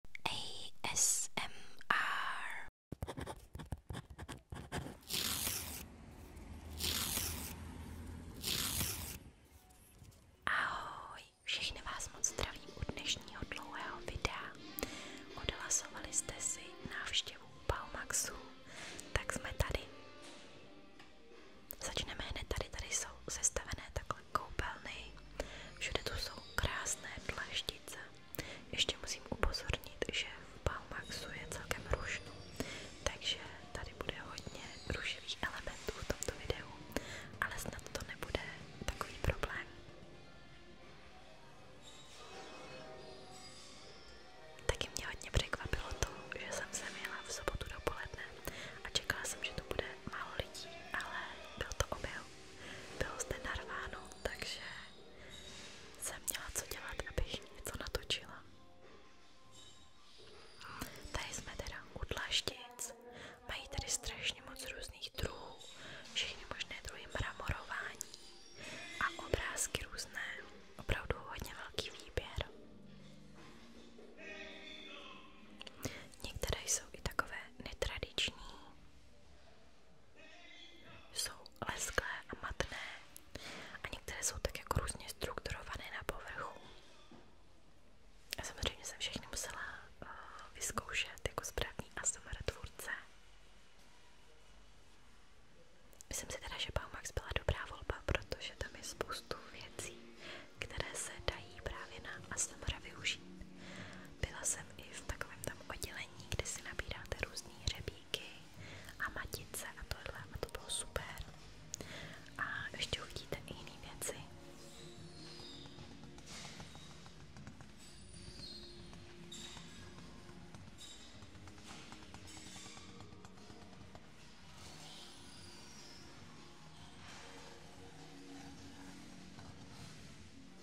Ahoj, všechny vás moc zdravím dnešního dlouhého videa. Odhlasovali jste si návštěvu Palmaxu, tak jsme tady. Začneme hned tady, tady jsou sestavené takhle koupelny. Všude tu jsou krásné dlaždice. Ještě musím upozornit, že v Palmaxu je celkem rušno, takže tady bude hodně rušivých elementů v tomto videu, ale snad to nebude takový problém. Taky mě hodně překvapilo to, že jsem se měla v sobotu dopoledne a čekala jsem, že to bude málo lidí, ale byl to objev bylo zde narváno, takže jsem měla co dělat, abych něco natočila. Tady jsme teda u dlažtic, mají tady strašně moc různých druhů, všechny možné druhy mramorování a obrázky různé, opravdu hodně velký výběr. Některé jsou i takové netradiční, jsou lesklé a matné a některé jsou tak jako různě strukturované na povrchu. Já samozřejmě jsem všechny musela uh, vyzkoušet jako správný ASMR tvůrce. Myslím si teda, že Baumax byla dobrá volba, protože tam je spoustu věcí, které se dají právě na ASMR využít. Byla jsem i v takovém tam oddělení, kde si nabíráte různé hřebíky a matice a tohle a to bylo super. A ještě uvidíte i jiné věci.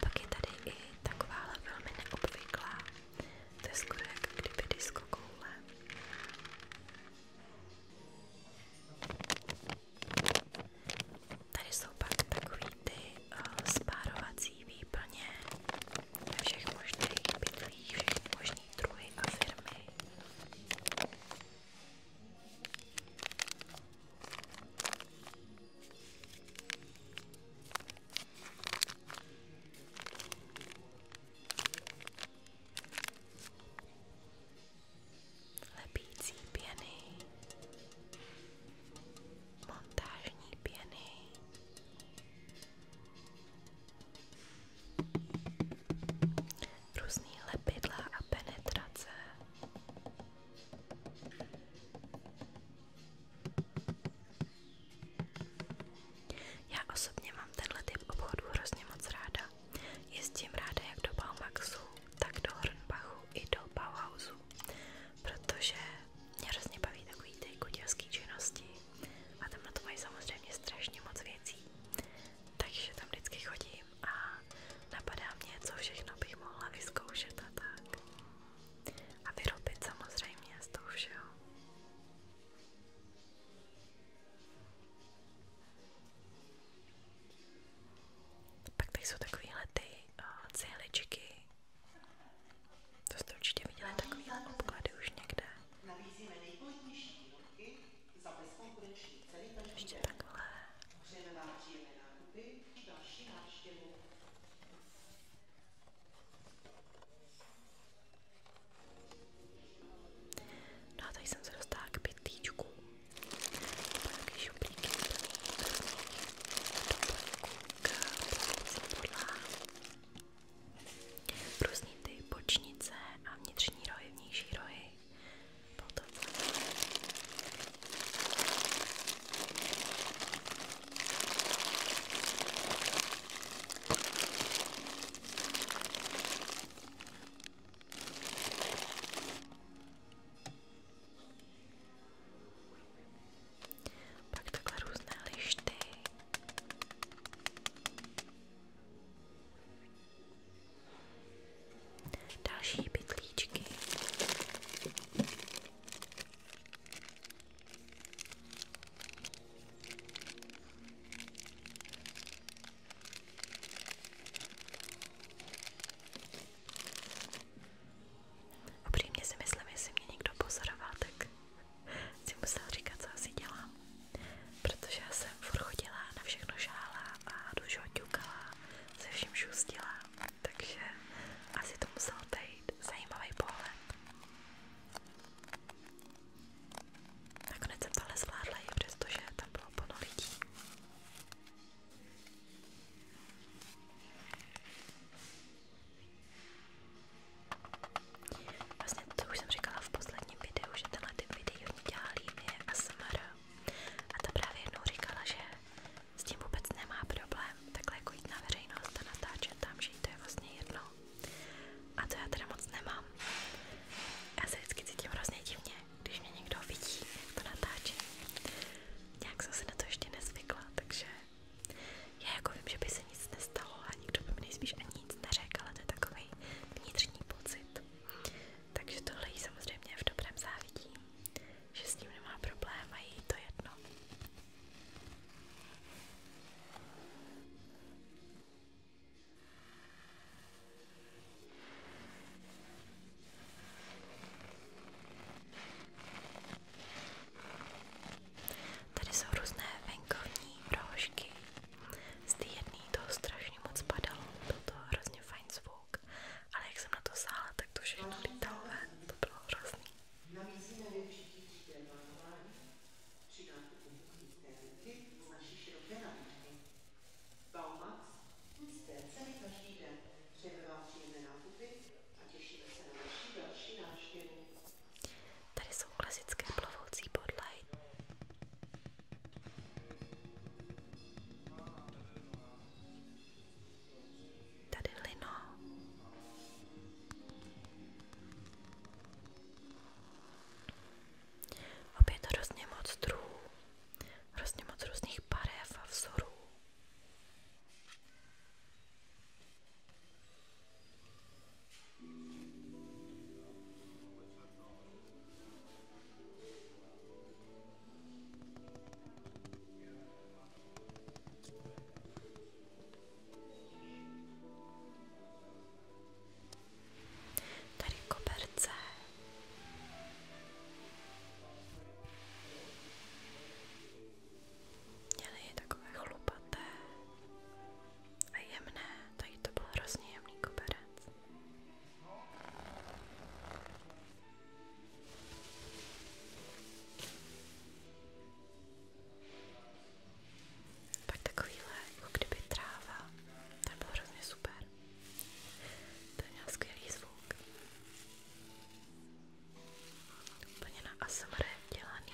Pak je tady i takováhle velmi neobvyklá, to je skoro jak kdyby diskokoule. Tady jsou pak takový ty uh, spárovací výplně ve všech možných bytlích, všech možných druhy a firmy. Lepící pěny montážní pěny. Různý lepidla a penetrace. Já osobně mám tenhle typ obchodů hrozně moc ráda. Jezdím ráda jak do Baumaxu, tak do Hornbachu i do Bauhausu protože mě hrozně baví takový ty kutilský činnosti a tam na to mají samozřejmě strašně moc věcí. Takže tam vždycky chodím a napadá mě, co všechno bych mohla vyzkoušet a tak. A vyrobit samozřejmě z toho všeho. Pak tady jsou takovéhle ty o, eh, cihličky, to jste určitě viděli takový obklady už někde. Ještě takhle. No a tady jsem se dostala k pětlíčku. Takové šuplíky. Doplňku podlá, různý ty bočnice a vnitřní rohy, vnější rohy, potom pak takhle různé lišty. Další bytlíčky. Upřímně si myslím, jestli mě někdo pozoroval, tak si musel říkat, co asi dělám. Protože já jsem furt chodila, na všechno žála a do všeho ťukala, se vším šustila, takže asi to musel být zajímavý pohled. Nakonec jsem to ale zvládla i přestože tam bylo plno lidí. Vlastně to už jsem říkala v posledním videu, že tenhle typ videí oni dělá líny a smr. A ta právě jednou říkala, že s tím vůbec nemá problém takhle jako jít na veřejnost a natáčet tam, že jí to je vlastně jedno. A to já teda moc nemám. Já se vždycky cítím hrozně divně, když mě někdo vidí, jak to natáčí. Nějak jsem se na to ještě nezvykla, takže já jako vím, že by se nic nestalo a nikdo by mi nejspíš ani nic neřekl, ale to je takový vnitřní pocit. Takže tohle jí samozřejmě v dobrém závidím, že s tím nemá problém a jí to jedno. Tady jsou různé venkovní rohožky. Z té jedné toho strašně moc padalo, byl to hrozně fajn zvuk, ale jak jsem na to sála, tak to všechno lítalo ven, to bylo hrozný. Baumax, jste celý každý den, přejeme vám příjemné nákupy Tady jsou klasické plovoucí podlahy. Tady lino. Opět hrozně moc druhů, hrozně moc různých barev a vzorů. Tady koberce. Měly je takové chlupaté a jemné, tady to byl hrozně jemný koberec. Pak takovýhle, jako kdyby tráva, ten byl hrozně super. Ten měl skvělý zvuk. Úplně na ASMR dělaný.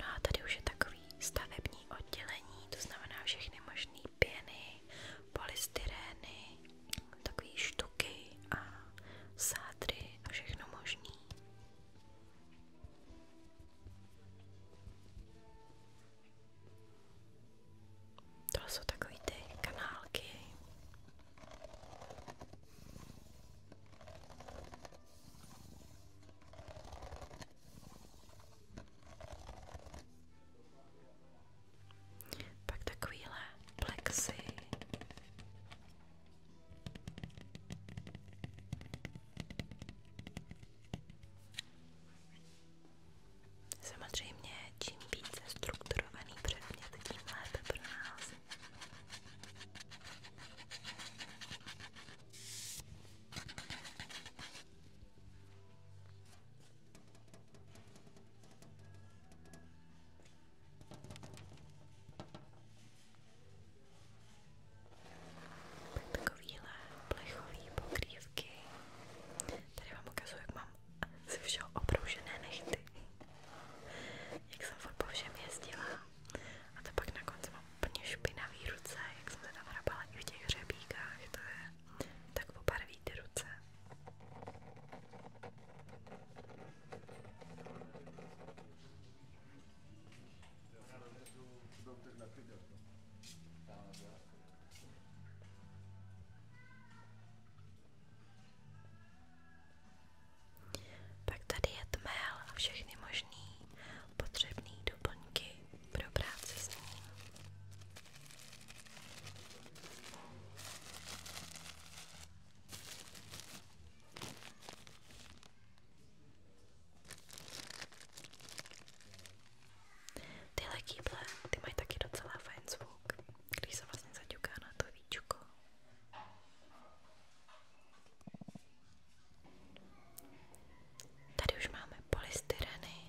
No a tady už je takový stavební oddělení, to znamená všechny možné pěny, polystyrény, takové štuky a sádry a všechno možný. To jsou takové ty kanálky. Pak takovýhle plexy. Samozřejmě, čím více strukturovaný předmět, tím lépe pro nás. Takovýhle plechový pokrývky. Tady vám ukazuju, jak mám ze všeho obroužené nechty. Jak jsem furt po všem jezdila. A to pak na konci mám úplně špinavý ruce, jak jsem se tam hrabala i v těch hřebíkách, to je tak pobarví ty ruce. Pak tady je tmel a všechny možný potřebné doplňky pro práci s ním. Tyhle kýble, ty mají taky docela fajn zvuk, když se vlastně zaťuká na to víčko. Tady už máme polystyreny.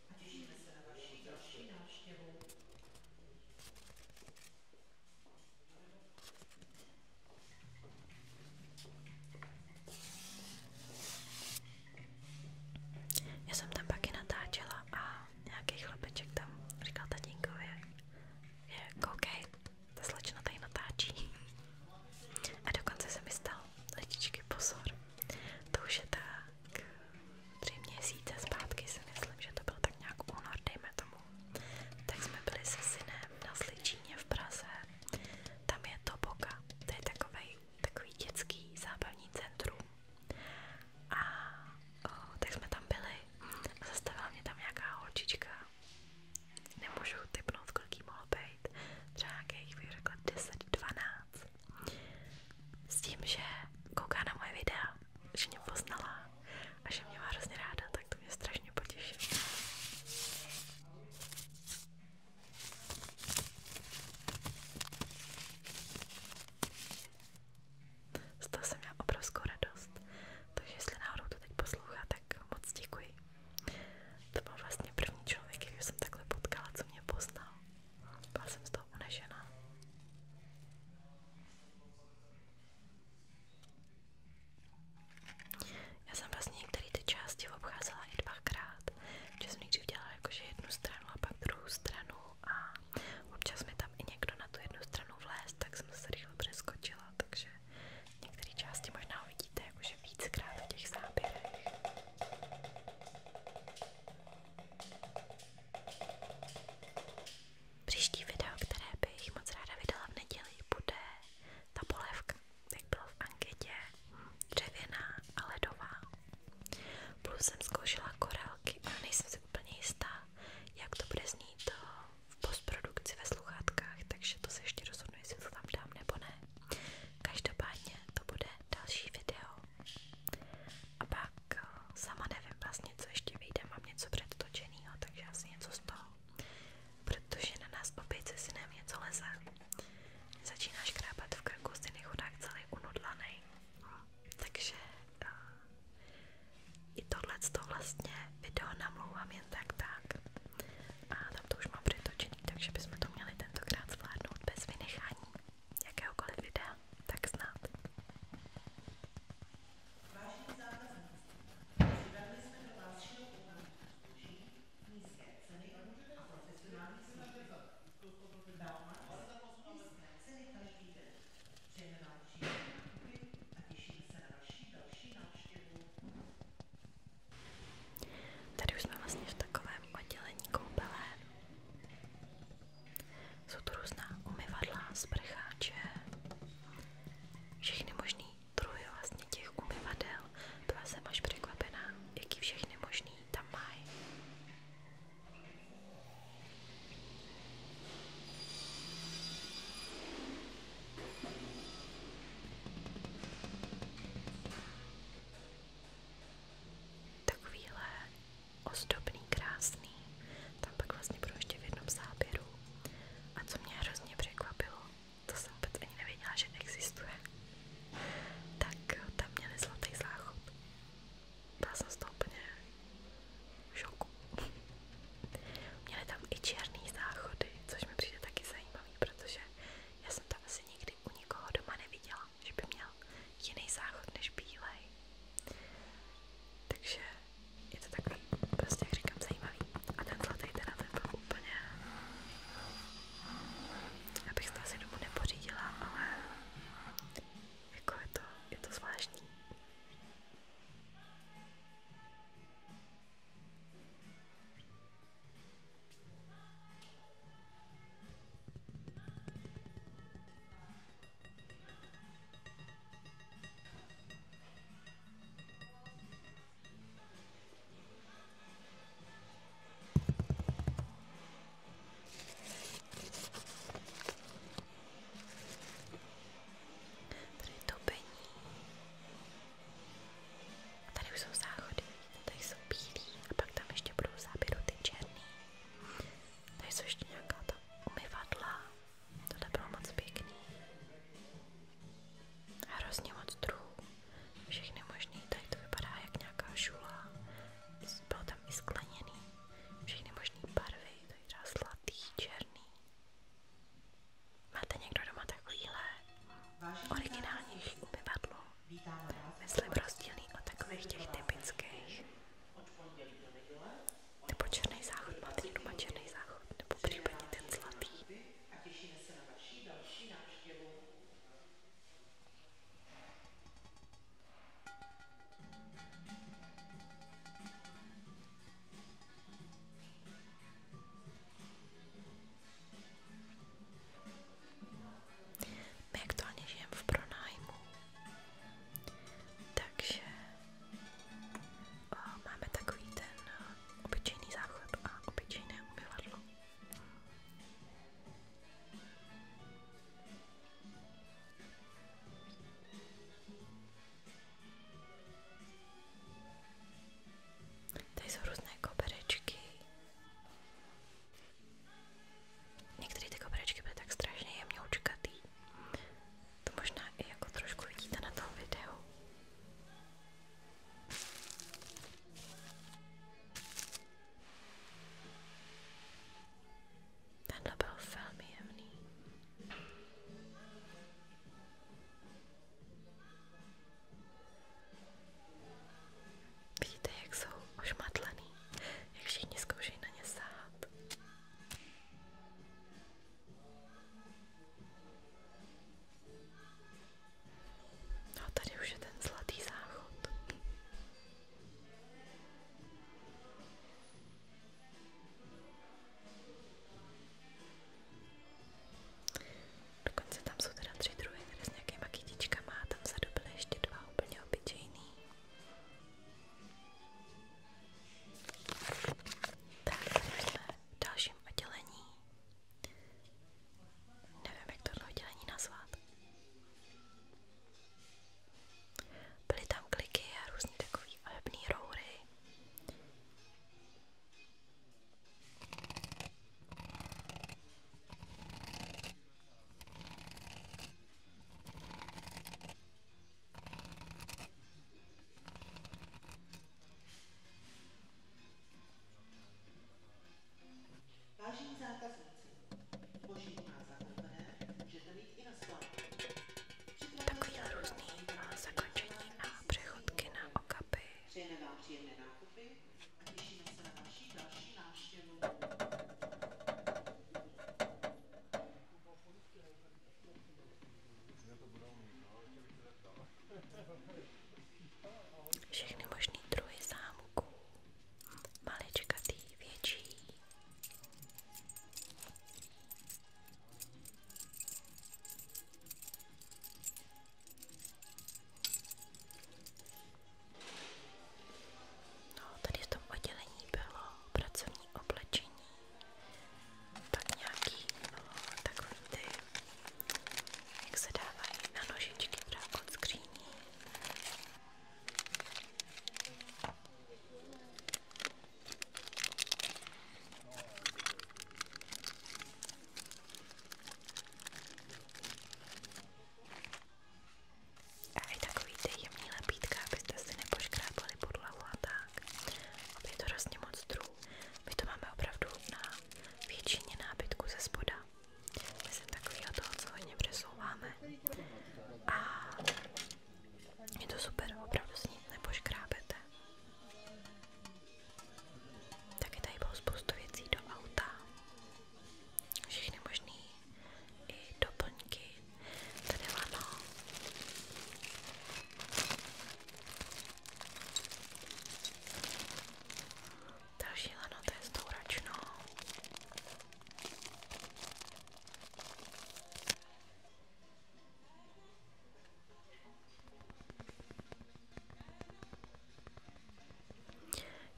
a těšíme se na vaši další návštěvu. Já jsem tam pak i natáčela a nějaký chlapeček tam říkal tatínkovi, je koukej, jako ta slečna tady natáčí. A dokonce se mi stal letičky pozor. To už je ta tři měsíce zpátky si myslím, že to byl tak nějak únor, dejme tomu, tak jsme byli se synem na Sličíně v Praze, tam je Toboka, to je takovej, takový dětský zábavní centrum a o, tak jsme tam byli a zastavila mě tam nějaká holčička, nemůžu typnout, kolik jí mohlo být, třeba nějakých, bych řekla, 10-12 s tím, že kouká na moje videa, že mě poznala a že mě má hrozně ráda, tak to mě strašně potěší. Z toho jsem měla obrovskou radost, takže jestli náhodou to teď poslouchá, tak moc děkuji. To byl vlastně první člověk, který jsem takhle potkala, co mě poznal. Byla jsem z toho unešená. Já jsem vlastně některé ty části obcházela i dvakrát, že jsem nejdřív dělala jakože jednu stranu a pak druhou stranu a občas mi tam i někdo na tu jednu stranu vléz, tak jsem se rychle přeskočila, takže některé části možná uvidíte jakože víckrát v těch záběrech. Příští video, které bych moc ráda vydala v neděli, bude ta polévka, jak bylo v anketě, dřevěná a ledová. Plus jsem zkoušela korálky, ale nejsem si úplně jistá, jak to bude znít eh, v postprodukci ve sluchátkách, takže to se ještě rozhodnu, jestli to tam dám nebo ne. Každopádně to bude další video. A pak eh, sama nevím vlastně, co ještě vyjde, mám něco předtočeného, takže asi něco z toho. Protože na nás opět si nám něco leze. Začínáš krápat v krku, stejný chudák celý unudlaný. Takže uh, i tohle vlastně video namlouvám jen tak tak. A tam to už mám přetočený, takže bychom to měli tentokrát zvládnout bez vynechání jakéhokoliv videa, tak snad. Tady už jsme vlastně v takovém oddělení koupele. Jsou tu různá umyvadla, sprcháče, všechny možný druhy vlastně těch umyvadel. Byla jsem až překvapená, jaký všechny možný tam mají. Takovýhle ozdobný, krásný. Tam pak vlastně budu ještě v jednom záběru. A co mě hrozně překvapilo, to jsem vůbec ani nevěděla, že existuje, tak tam měli zlatý záchod. Byla jsem z toho úplně v šoku. měli tam i černý záchody, což mi přijde taky zajímavý, protože já jsem to asi nikdy u nikoho doma neviděla, že by měla měl jiný záchod než bílej. Takže je to takový, prostě jak říkám, zajímavý. A ten zlatý teda ten byl úplně... Abych to asi domů nepořídila, ale jako je to, je to zvláštní. Tady topení. Tady už jsou záchody, tady jsou bílí a pak tam ještě budou záběru ty černý. Tady jsou ještě nějaká ta umyvadla. Tohle bylo moc pěkný. Hrozně moc druhů. Všechny možný. Tady to vypadá jak nějaká žula. Bylo tam i skleněný. Všechny možný barvy. Tady třeba sladý, černý. Máte někdo doma takovýhle originálních umyvadlo? Myslím rozdílný od takových těch typických nebo černý záchod, máte někdo má černý záchod, nebo případně ten zlatý. A těšíme se na vaší další návštěvu. My aktuálně žijeme v pronájmu takže o, eh, máme takový ten eh, obyčejný záchod a obyčejné umyvadlo. Tady jsou různé koberečky. Některé ty koberečky byly tak strašně jemňoučkatý. To možná i jako trošku vidíte na tom videu. Tenhle byl velmi jemný. Vidíte, jak jsou ošmatlený, jak všichni zkoušejí na ně sáhat. No a tady už je ten zlatý záchod. Dokonce tam jsou teda tři druhy, které s nějakýma kytičkama a tam se dobily ještě dva úplně obyčejný. Tak, jsme v dalším oddělení. Nevím, jak tohle oddělení nazvat. Byly tam kliky a různé takové hebné roury. Vážení zákazníci, Boží má zakoupené, můžete mít i na skládku. Takový různý má zakončení na přechodky na okapy. Přejeme vám příjemné nákupy a těšíme se na vaši další návštěvu. Všechny možný druhy zámků, maličkatý, větší. No, tady v tom oddělení bylo pracovní oblečení pak nějaký no, takový ty, jak se dávají na nožičky právě od skříní. A i takový ty jemný lepítka, abyste si nepoškrábali podlahu a tak tak. A je to hrozně moc druhů. My to máme opravdu na většině nábytku ze spoda. Myslím takového toho, co hodně přesouváme. A je to super, opravdu s ním nepoškrábete. Taky tady bylo spoustu věcí do auta. Všechny možný i doplňky Tady lano. Další lano, je s tou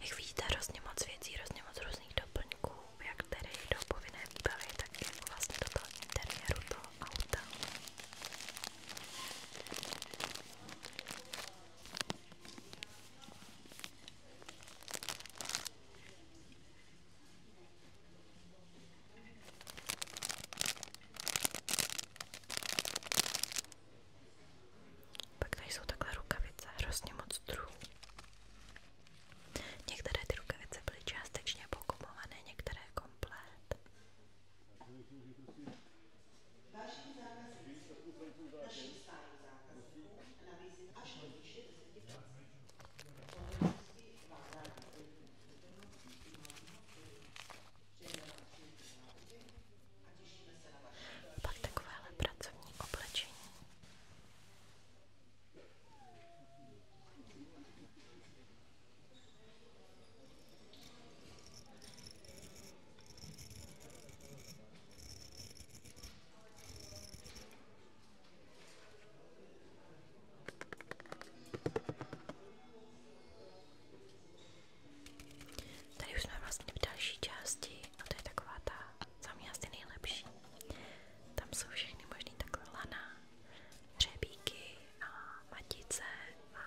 Jak vidíte, hrozně moc věcí, hrozně moc různých doplňků jak tedy do povinné výbavy, tak jako vlastně do toho interiéru toho auta. Pak tady jsou takhle rukavice, hrozně moc druhů. Některé ty rukavice byly částečně pokupované, některé komplet. Vážení zákazníci, naším stálým zákazníkům nabízím až do výše 10 Pak takovéhle pracovní oblečení. Tady už jsme vlastně v další části a to je taková ta za mě asi nejlepší. Tam jsou všechny možný takové lana, hřebíky a matice a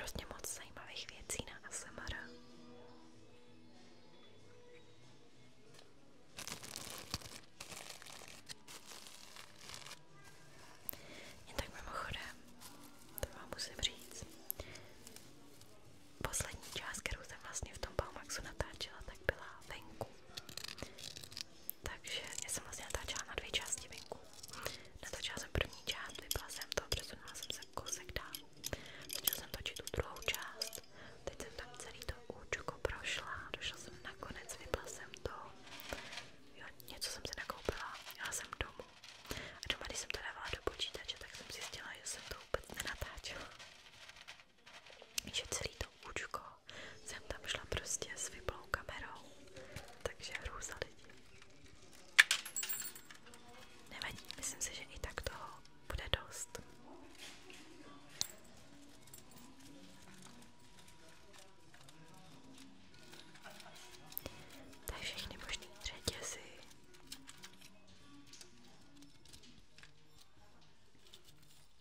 různý moc zajímavých věcí na ASMR. Jen tak mimochodem, to vám musím říct. Poslední část, kterou jsem vlastně v tom Palmaxu natáčela, tak byla venku. Takže já jsem vlastně natáčela na dvě části venku. Natočila jsem první část, vypla jsem to, přesunula jsem se kousek dál. Začala jsem točit tu druhou část. Teď jsem tam celý to účko prošla, došla jsem nakonec, vypla jsem to. Jo, něco jsem si nakoupila, jela jsem domů. A doma, když jsem to dávala do počítače, tak jsem zjistila, že jsem to vůbec nenatáčela že celý to účko jsem tam šla prostě s vyplou kamerou, takže hrůza lidí. Nevadí, myslím si, že i tak toho bude dost. Tak všechny možný řetězy.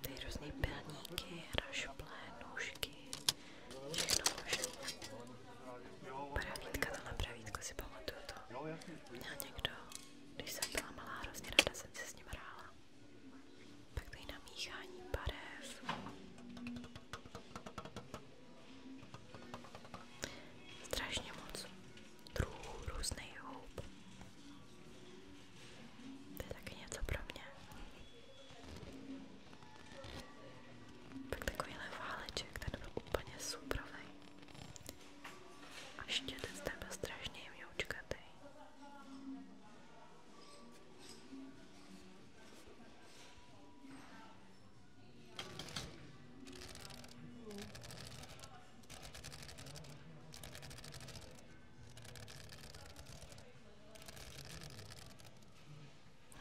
Ty různý pilníky, rašuplé, nůžky, všechno možné. Pravítka, tohle pravítko si pamatuju to. Měl někdo, když jsem byla malá, hrozně ráda jsem se s ním hrála. Pak tady namíchání barev. Strašně moc druhů různých houb. To je taky něco pro mě. Pak takovýhle váleček, ten byl úplně suprovej. A štětec ten byl strašně mňoučkatý.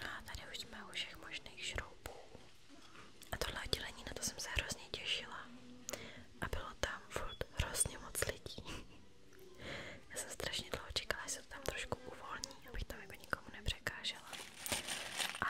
No a tady už jsme u všech možných šroubů. A tohle oddělení, na to jsem se hrozně těšila. A bylo tam furt hrozně moc lidí. Já jsem strašně dlouho čekala, že se to tam trošku uvolní, abych to jako nikomu nepřekážela. A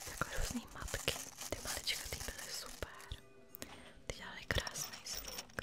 Takové různý matky, ty malička ty byly super, ty dělaly krásný zvuk.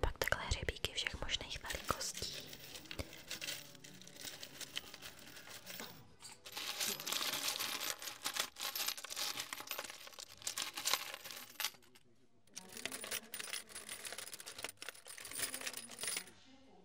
Pak takhle hřebíky všech možných velikostí.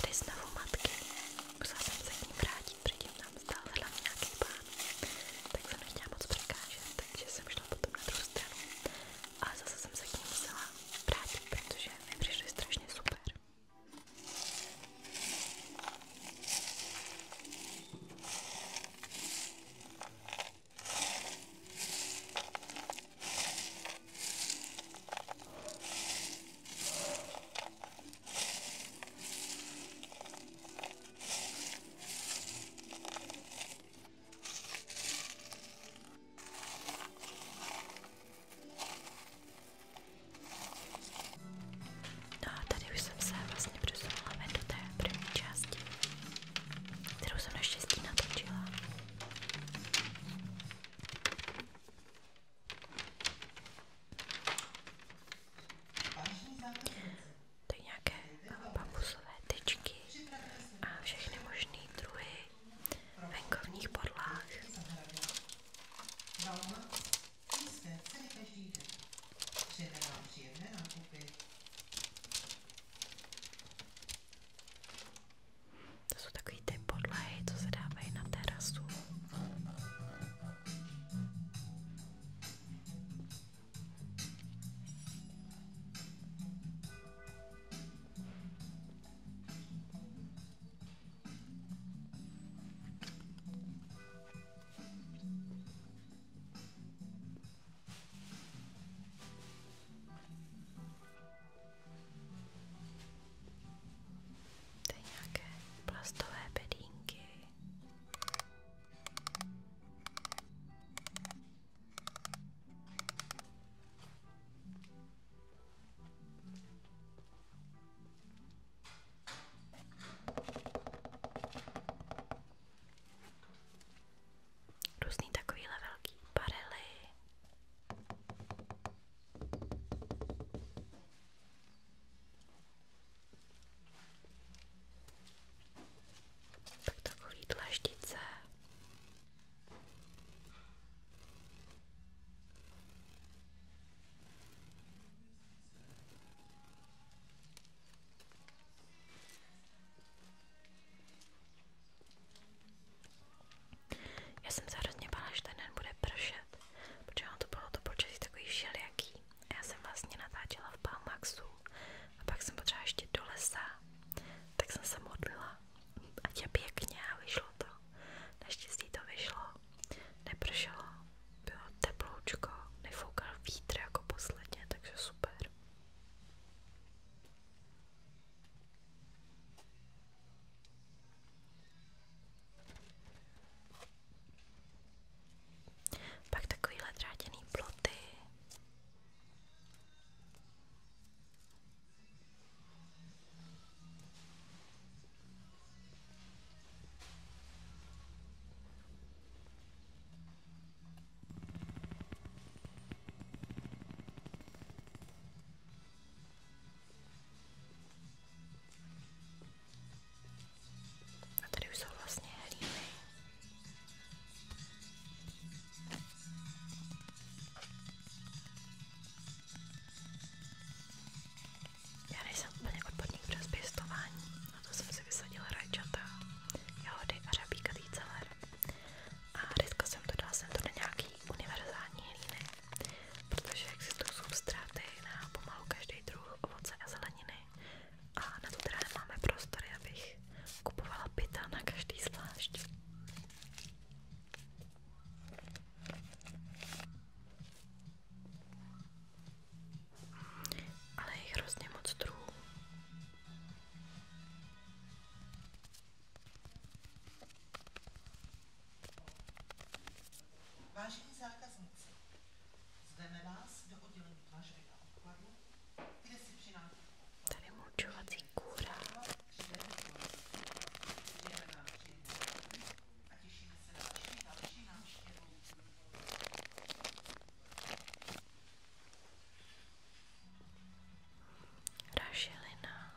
Tady znovu matky, musela jsem se k ním vrátit, předtím tam stál hlavně nějaký pán, tak jsem nechtěla moc překážet, takže jsem šla potom na druhou stranu a zase jsem se k ním musela vrátit, protože mi přišli strašně super. No a tady už jsem se vlastně přesunula ven do té první části kterou jsem naštěstí natočila. To je nějaké bambusové tyčky a všechny možné druhy venkovních podlah. To jsou takový ty podlahy, co se dávají na terasu. To je nějaké plastové bedínky různý takovýhle velký barely. Tak takový dlaždice. Já jsem se hrozně bála, že ten den bude pršet, protože ono to bylo to počasí takový šelijaký. A já jsem vlastně natáčela v Palmaxu a pak jsem potřeba ještě do lesa, tak jsem se modlila. Ať je pěkně a vyšlo to. Naštěstí to vyšlo. Nepršelo, bylo teploučko, nefoukal vítr jako posledně, takže super. Pak takovýhle drátěný ploty. A tady už jsou vlastně hlíny. Já nejsem úplně odborník přes pěstování, na to jsem si vysadila rajčata, jahody a řabíkatý celer a dneska jsem to dala jsem to na nějaký univerzální hlíny, protože existují substráty na pomalu každý druh ovoce a zeleniny a na to teda nemáme prostory, abych kupovala pita na každý zvlášť. Ale je hrozně moc druhů. Vážení zákazníci, zveme vás do oddělení dlažby a obkladu, kde si při nákupu Tady mulčovací kůra. A těšíme se na vaši další návštěvu rašelina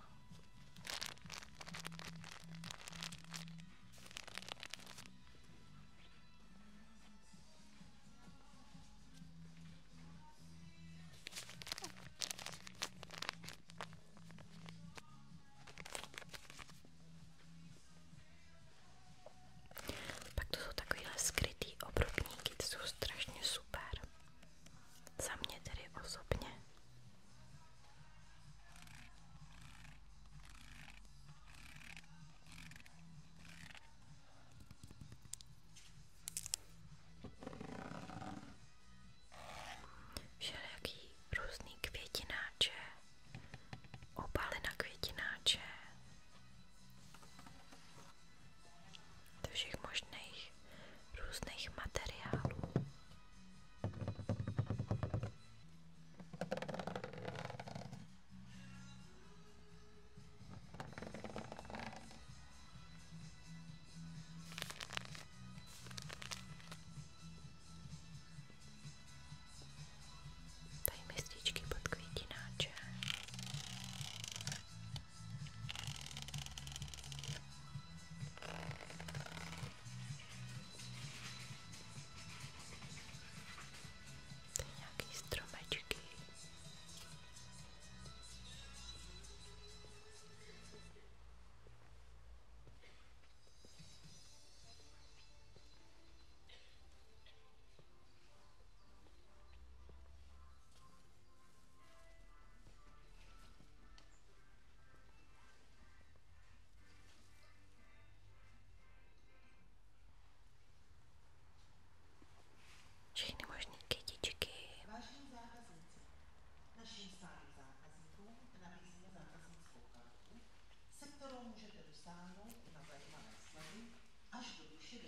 pak to jsou takovýhle skrytý obrubníky, ty jsou strašně super. Za mě tedy osobně. Všelijaký různý květináče, obaly na květináče, do všech možných různých materiálů. Tady mističky pod květináče. Tady nějaký stromečky všechny možné kytičky. Vážení zákazníci, našim stálým zákazníkům nabízíme zákaznickou kartu, se kterou můžete dosáhnout na zajímavé slevy až do výše 10%.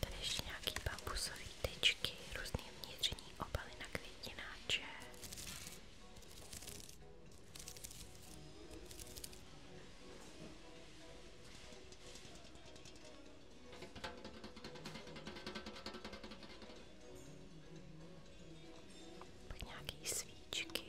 Tady ještě nějaký bambusové tyčky, různé vnitřní obaly na květináče. Pak nějaký svíčky.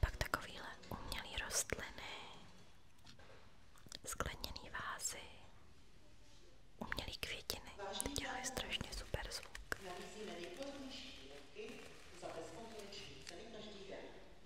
Pak takovýhle umělý rostliny, skleněný vázy, umělý květiny, ty dělají strašně super zvuk. Nabízíme nejpodobnější výrobky za bezkonkurenční ceny každý den.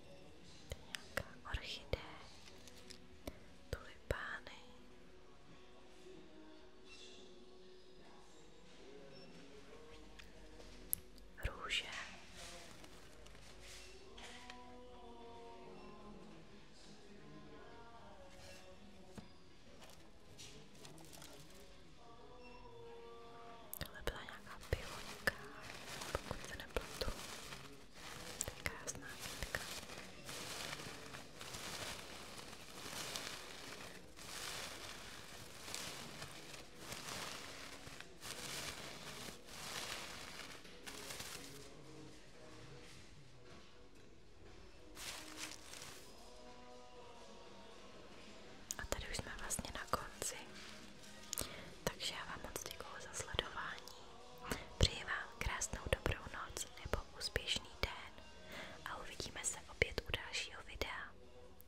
To je nějaká orchidee, tulipány. Růže. Tohle byla nějaká pivoňka, pokud se nepletu. To je krásná kytka. A tady už jsme vlastně na konci. Takže já vám moc děkuju za sledování. Přeji vám krásnou dobrou noc nebo úspěšný den a uvidíme se opět u dalšího videa.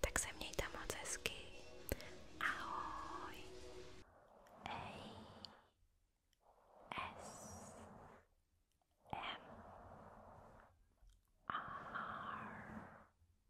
Tak se mějte moc hezky. Ahoj. Ej. S. M. R.